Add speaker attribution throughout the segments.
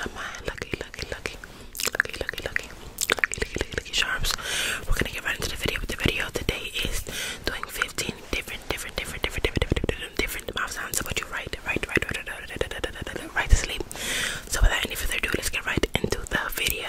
Speaker 1: Am I lucky, lucky, lucky, lucky, lucky, lucky, lucky, lucky, lucky sharps? We're gonna get right into the video. The video today is doing 15 different, different, different, different, different, different, different mouth sounds. About you right, right, right, right, right, right, right to sleep. So without any further ado, let's get right into the video.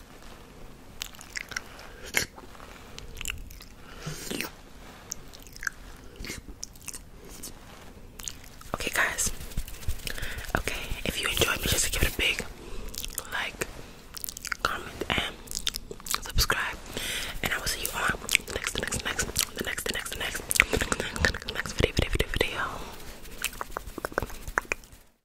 Speaker 1: Okay, guys. Okay, if you enjoyed me, just give it a big like, comment, and subscribe. And I will see you on the next, the next, next, the next, next, next, next video, video, video. video.